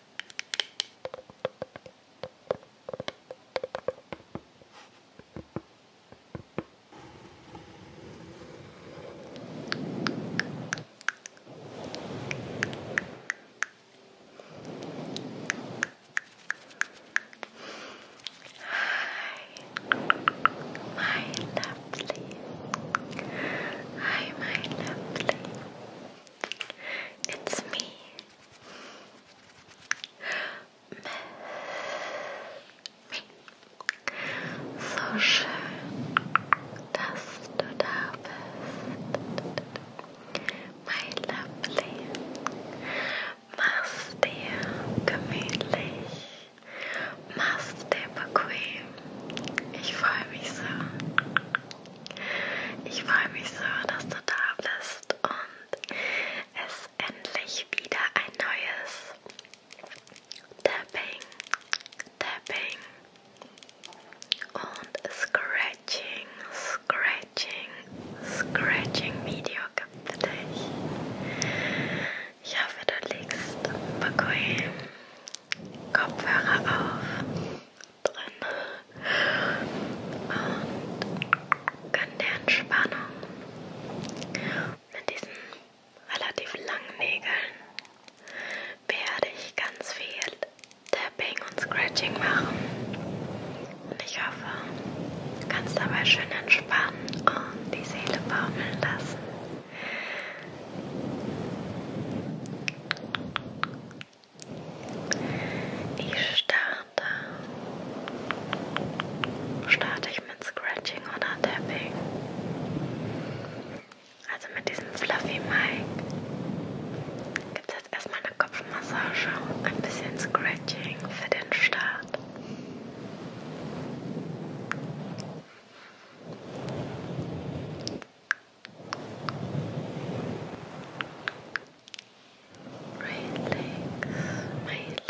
Hi, my lovely. Hi, my lovely. It's me. So schön, dass du da bist. My lovely. Mach's dir gemütlich. Mach's dir bequem. Ich freue mich so Ich freue mich so, dass du da bist und es endlich wieder ein neues Tapping, Tapping und Scratching, Scratching, Scratching Video gibt für dich. Ich hoffe, du legst bequem Kopfhörer auf drin und gönn der Entspannung mit diesen relativ langen Nägeln werde ich ganz viel Tapping und Scratching machen und ich hoffe, du kannst dabei schön entspannen und die Seele baumeln lassen. Ich starte. Starte ich mit Scratching oder Tapping? Also mit diesem Fluffy Mic gibt es jetzt erstmal eine Kopfmassage, ein bisschen Scratching für den Start. Relax, my lovely. Relax. Relax.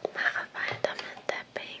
Ich mache weiter mit Tapping.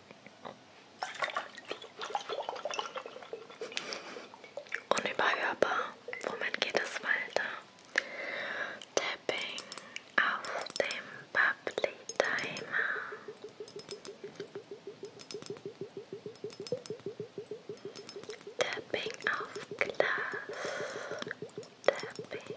Unüberhörbar. Womit geht es weiter? Tapping auf dem Bubbly Timer. Tapping auf Glas. Tapping.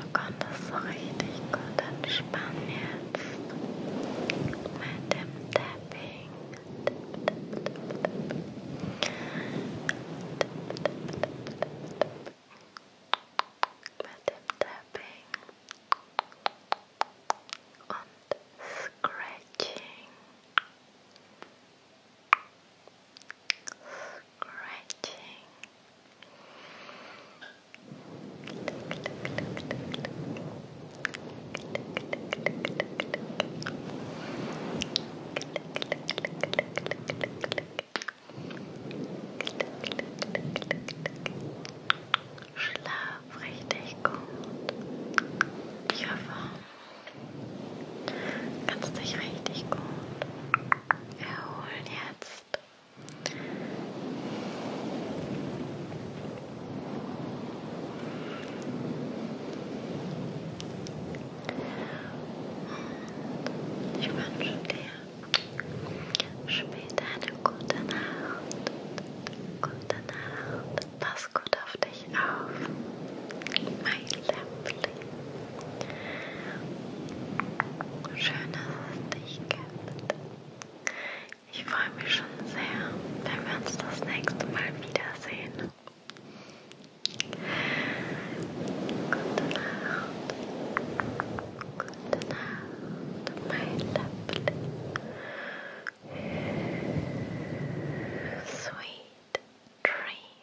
du konntest so richtig gut entspannen jetzt mit dem Tapping. Mit dem Tapping und Scratching. Scratching scratching. Schlaf richtig gut. Ich hoffe, kannst dich richtig gut erholen jetzt. Ik ich wünsche dir später eine gute Nacht. Gute Nacht. das gut auf dich auf. My lamp Schön, dich gibt. Ich freue mich schon sehr, wenn wir uns das nächste Mal wiedersehen. Gute Nacht. Gute Nacht, mein Liebling. Sweet dreams.